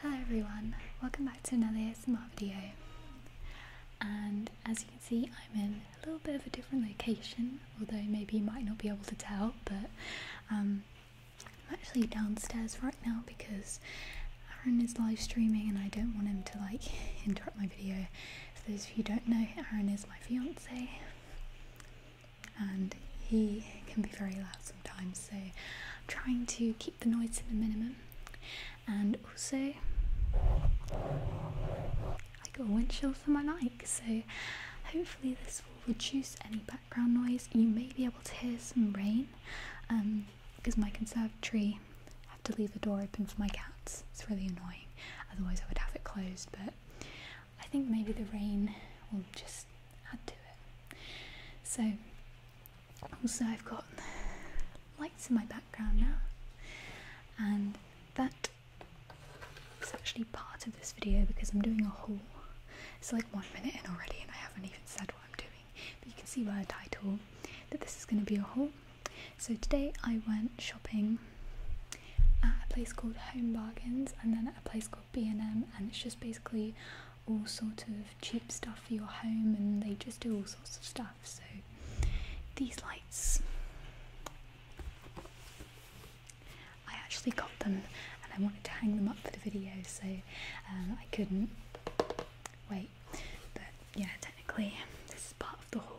Hello everyone, welcome back to another ASMR video and as you can see I'm in a little bit of a different location although maybe you might not be able to tell but um, I'm actually downstairs right now because Aaron is live streaming and I don't want him to like interrupt my video for those of you don't know Aaron is my fiance and he can be very loud sometimes so I'm trying to keep the noise to the minimum. And also, I got a windshield for my mic, so hopefully this will reduce any background noise. You may be able to hear some rain, um, because my conservatory, I have to leave the door open for my cats. It's really annoying. Otherwise, I would have it closed. But I think maybe the rain will just add to it. So also, I've got lights in my background now, and that is actually part of this video because I'm doing a haul. It's like one minute in already, and I haven't even said what I'm doing, but you can see by the title that this is going to be a haul. So, today I went shopping at a place called Home Bargains and then at a place called B&M and it's just basically all sort of cheap stuff for your home and they just do all sorts of stuff so these lights I actually got them and I wanted to hang them up for the video so um, I couldn't wait but yeah technically this is part of the haul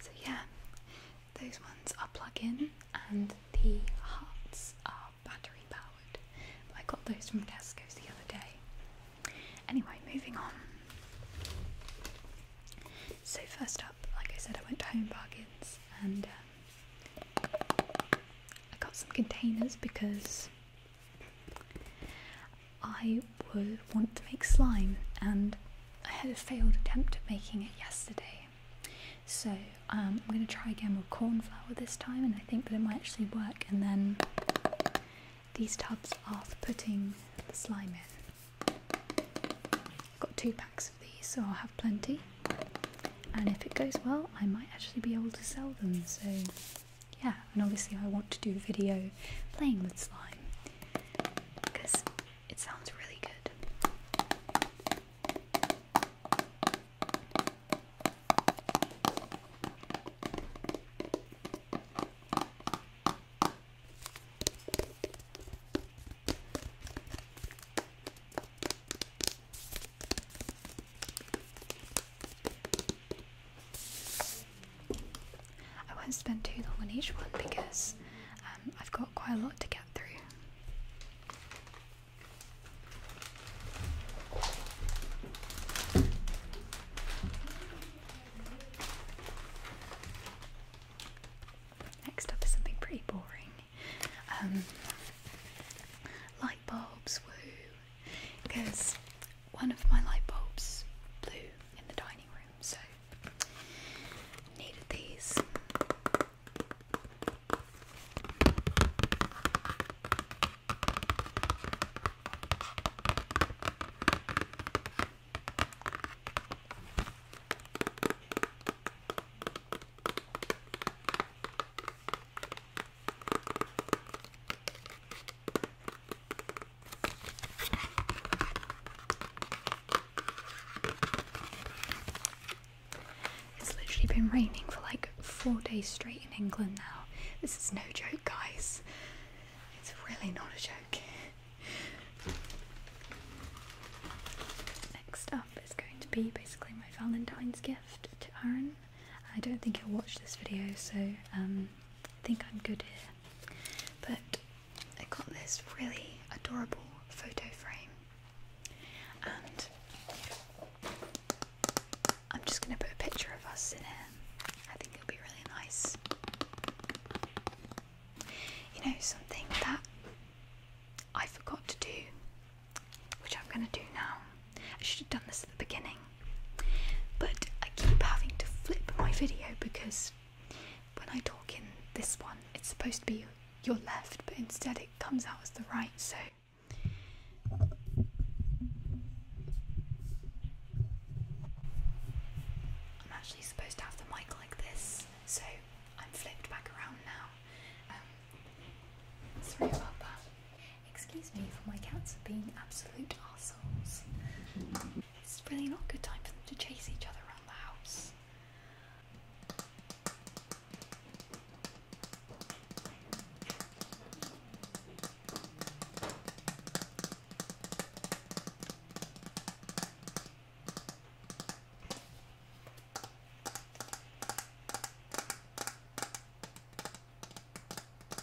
So yeah, those ones are plug-in and the hearts are battery powered. I got those from Tesco's the other day. Anyway, moving on. So first up, like I said, I went to Home Bargains and um, I got some containers because I would want to make slime and I had a failed attempt at making it yesterday. So um, I'm going to try again with corn flour this time and I think that it might actually work and then these tubs are for putting the slime in. I've got two packs of these so I'll have plenty and if it goes well I might actually be able to sell them so yeah, and obviously I want to do a video playing with slime because it sounds really good. I won't spend too long on each one because um, I've got quite a lot to get through. Next up is something pretty boring. Um, light bulbs, woo! Because one of my light bulbs blew in the dining room, so needed these. It's literally been raining for like four days straight in England now. This is no joke, guys. It's really not a joke. Next up is going to be basically my Valentine's gift to Aaron. I don't think he'll watch this video, so um, I think I'm good here. But I got this really adorable photo frame, and I'm just going to put a picture of us in it. I think it'll be really nice. You know, something that I forgot to do, which I'm going to do now. I should have done this at the beginning, but I keep having to flip my video because when I talk in this one, it's supposed to be your left, but instead it comes out as the right, so. I'm actually supposed to have the mic like this, so I'm flipped back around now. Um, Excuse me for my cats being absolute assholes. It's really not a good time for them to chase each other around the house.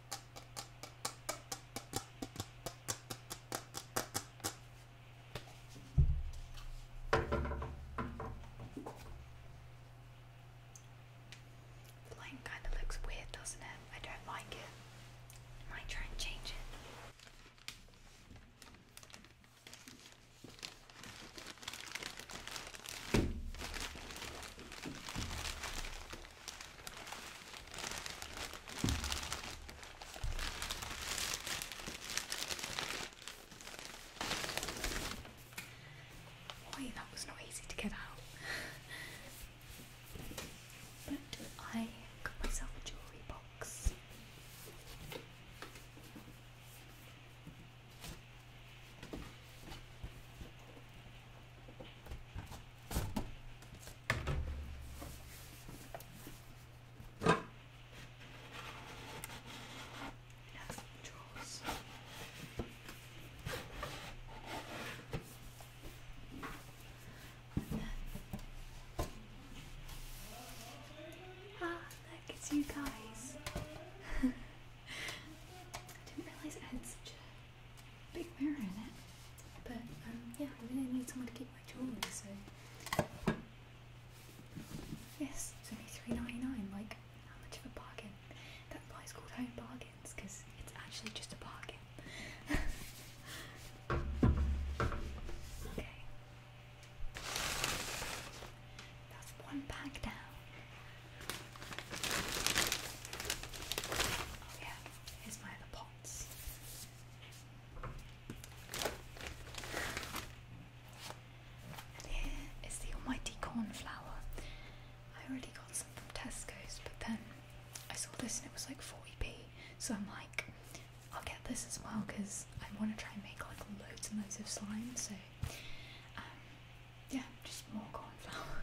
The line kind of looks weird, doesn't it? I don't like it. might try and change it. Boy, that was not easy to get out. but I got myself a jewellery box. That's drawers. Ah, look, at you guys. didn't realise it had such a big mirror in it. But um, yeah, I really need someone to keep my jewellery, so yes, it's only three ninety nine. Like how much of a bargain? That why called home bargains because it's actually just a bargain. okay, that's one bag down. Oh yeah, here's my other pot thoughts. here is the almighty cornflower. I already got some from Tesco's, but then I saw this and it was like 40p, so I'm like, I'll get this as well because I want to try and make like loads and loads of slime. So, um, yeah, just more cornflower.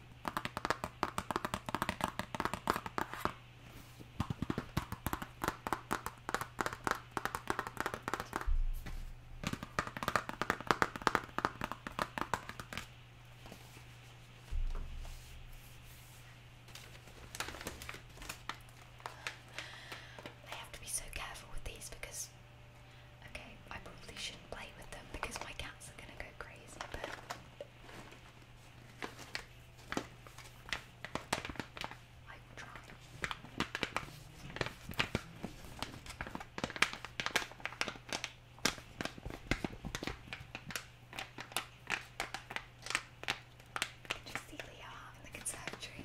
I have to be so careful with these because, okay, I probably shouldn't play with them because my cats are gonna go crazy, but I you see Leo in the conservatory.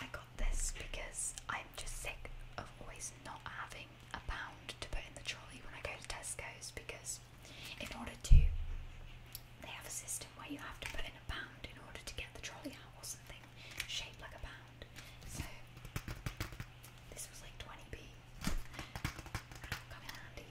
I got this because I'm just sick of always not having a pound to put in the trolley when I go to Tesco's because in order to they have a system where you have to put in a pound in order to get the trolley out or something shaped like a pound. So this was like 20p. come in handy.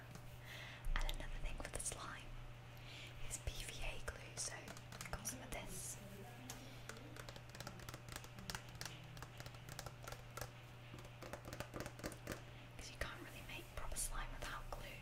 And another thing for the slime is PVA glue, so I got some of this. Because you can't really make proper slime without glue.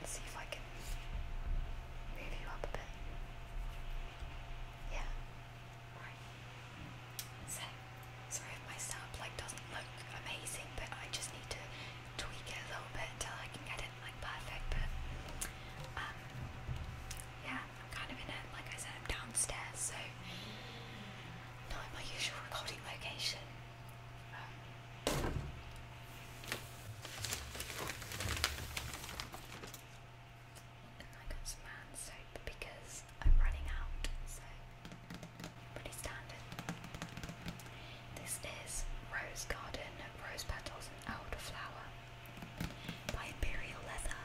let's um, see if I can move you up a bit. Yeah. Right. So, sorry if my setup like doesn't look amazing, but I just need to tweak it a little bit until I can get it like perfect. But um, yeah, I'm kind of in it. Like I said, I'm downstairs, so not in my usual recording location. And I got some hand soap because I'm running out, so pretty standard. This is Rose Garden Rose Petals and Elderflower by Imperial Leather.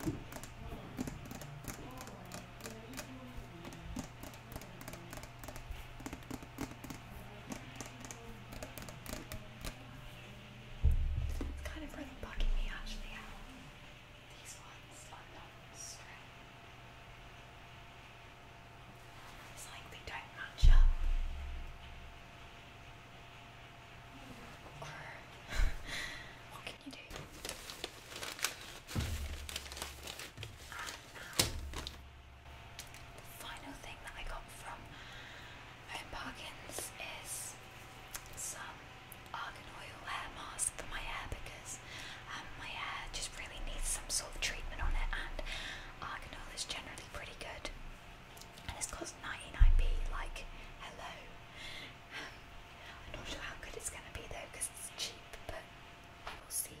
It's kind of really bugging me actually these ones are not straight. It's like they don't match up. what can you do? Uh, the final thing that I got from Home Bargains is some argan oil hair mask for my hair because um, my hair just really needs some sort of treatment on it, and argan oil is generally pretty good. And it's cost 99p, like, hello. Um, I'm not sure how good it's going to be though because it's cheap, but we'll see.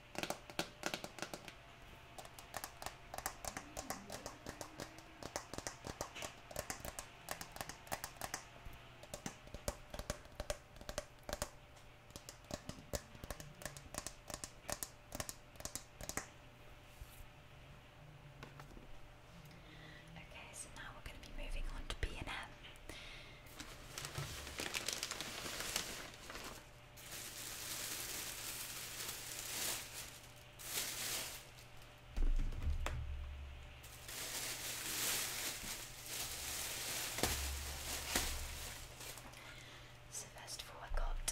Okay, so now we're going to be moving on to B and M. So first of all, I got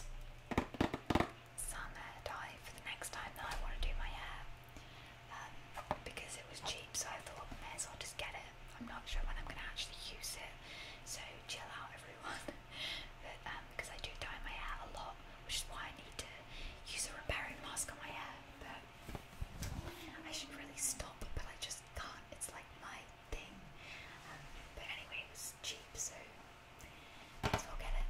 some hair dye for the next time that I want to do my hair um, because it was cheap. So I thought, may as well just get it. I'm not sure when I'm going to actually use it. So chill out, everyone. but um because I do dye my hair a lot, which is why I need to use a repairing mask on my hair. But I should really stop, but I just can't. It's like my thing. Um, but anyway, it cheap, so might as well get it.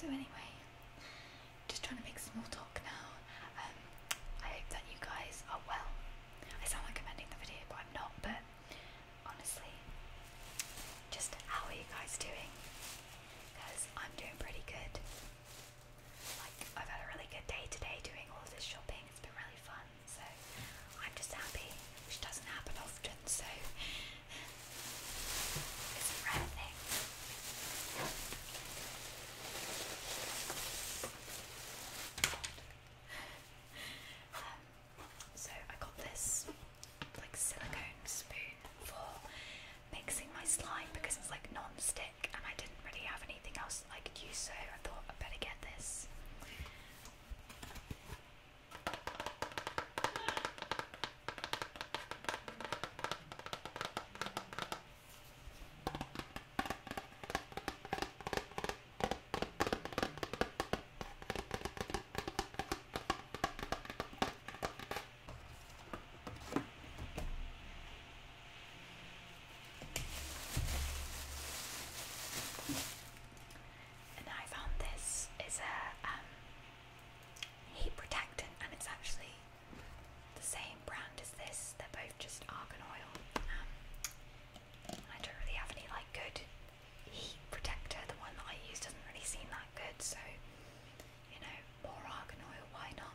So anyway, just trying to make small talk now. Um, I hope that you guys are well. I sound like I'm ending the video, but I'm not. But honestly, just how are you guys doing? Because I'm doing pretty good. Like I've had a really good day today doing all this shopping. It's been really fun. So I'm just happy, which doesn't happen often. So. Um, so I got this like silicone spoon for mixing my slime because it's like non-stick and I didn't really have anything else I could use, so I thought I'd better get this. And I found this is a um, heat protectant, and it's actually the same brand as this. They're both just argan oil. Um, I don't really have any like good heat protector. The one that I use doesn't really seem that good, so you know, more argan oil. Why not?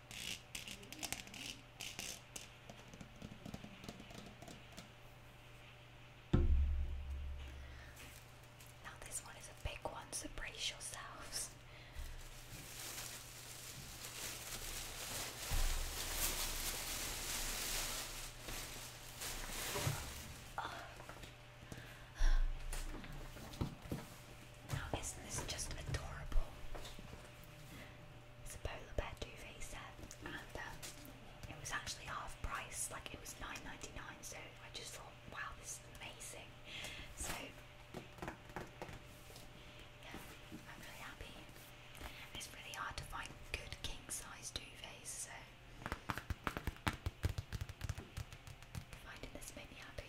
Now, this one is a big one, so brace yourselves. Now, isn't this just adorable? It's a polar bear duvet set, and um, it was actually half price, like it was nine ninety nine. So I just thought, wow, this is amazing. So yeah, I'm really happy. it's really hard to find good king size duvets, so finding this made me happy.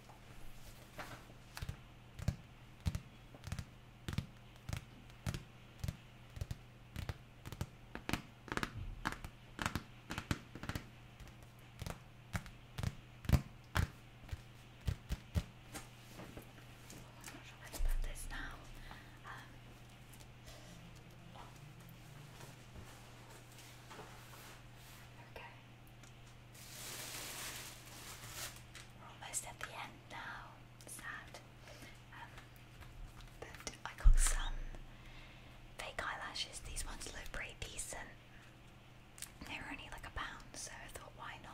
I'm not sure where this now. Um, okay. We're almost at the end now. Sad. Um, but I got some fake eyelashes. These ones look pretty decent. They were only like a pound, so I thought, why not?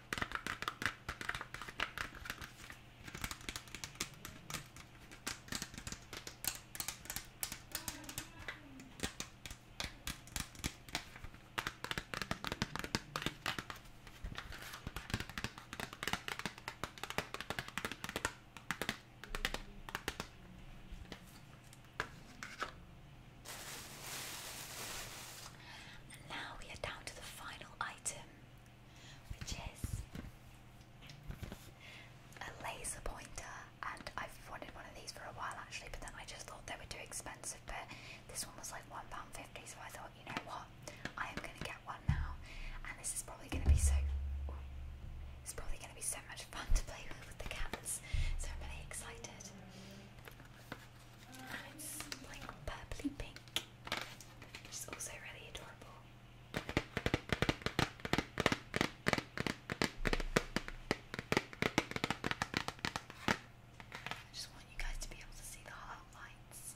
And now we are down to the final final item, which is a laser pointer. And I've wanted one of these for a while actually, but then I just thought they were too expensive. But this one was like £1.50, so I thought, you know what, I am going to get one now. And this is probably going to be so. Ooh, it's probably going to be so much fun to play with with the cats, so I'm really excited. It's like purpley pink, which also really adorable. I just want you guys to be able to see the heart lights.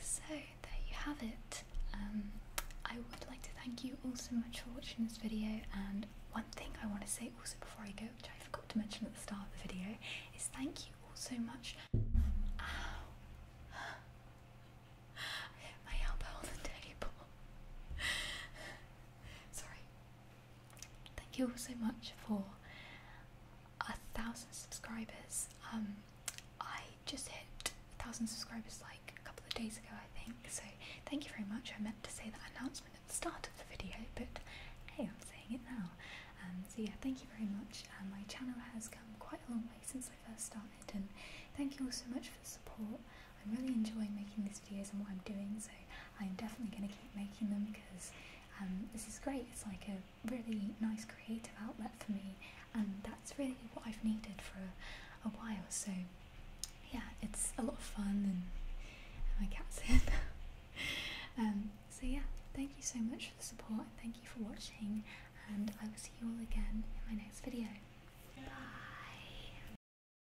So there you have it. Um, I would like to thank you all so much for watching this video and one thing I want to say also before I go, which I forgot to mention at the start of the video, is thank you all so much. my elbow on the table. Sorry. Thank you all so much for a thousand subscribers. Um, I just hit a thousand subscribers like a couple of days ago, I think. So thank you very much. I meant to say that announcement at the start of the video, but hey, I'm saying it now. Um, so yeah, thank you very much. Um, my channel has come quite a long way since I first started, and thank you all so much for the support. I'm really enjoying making these videos and what I'm doing, so I'm definitely going to keep making them because um, this is great. It's like a really nice creative outlet for me, and that's really what I've needed for a, while. So, yeah, it's a lot of fun, and, my cat's in. Um, so, yeah, thank you so much for the support, and thank you for watching, and I will see you all again in my next video. Bye!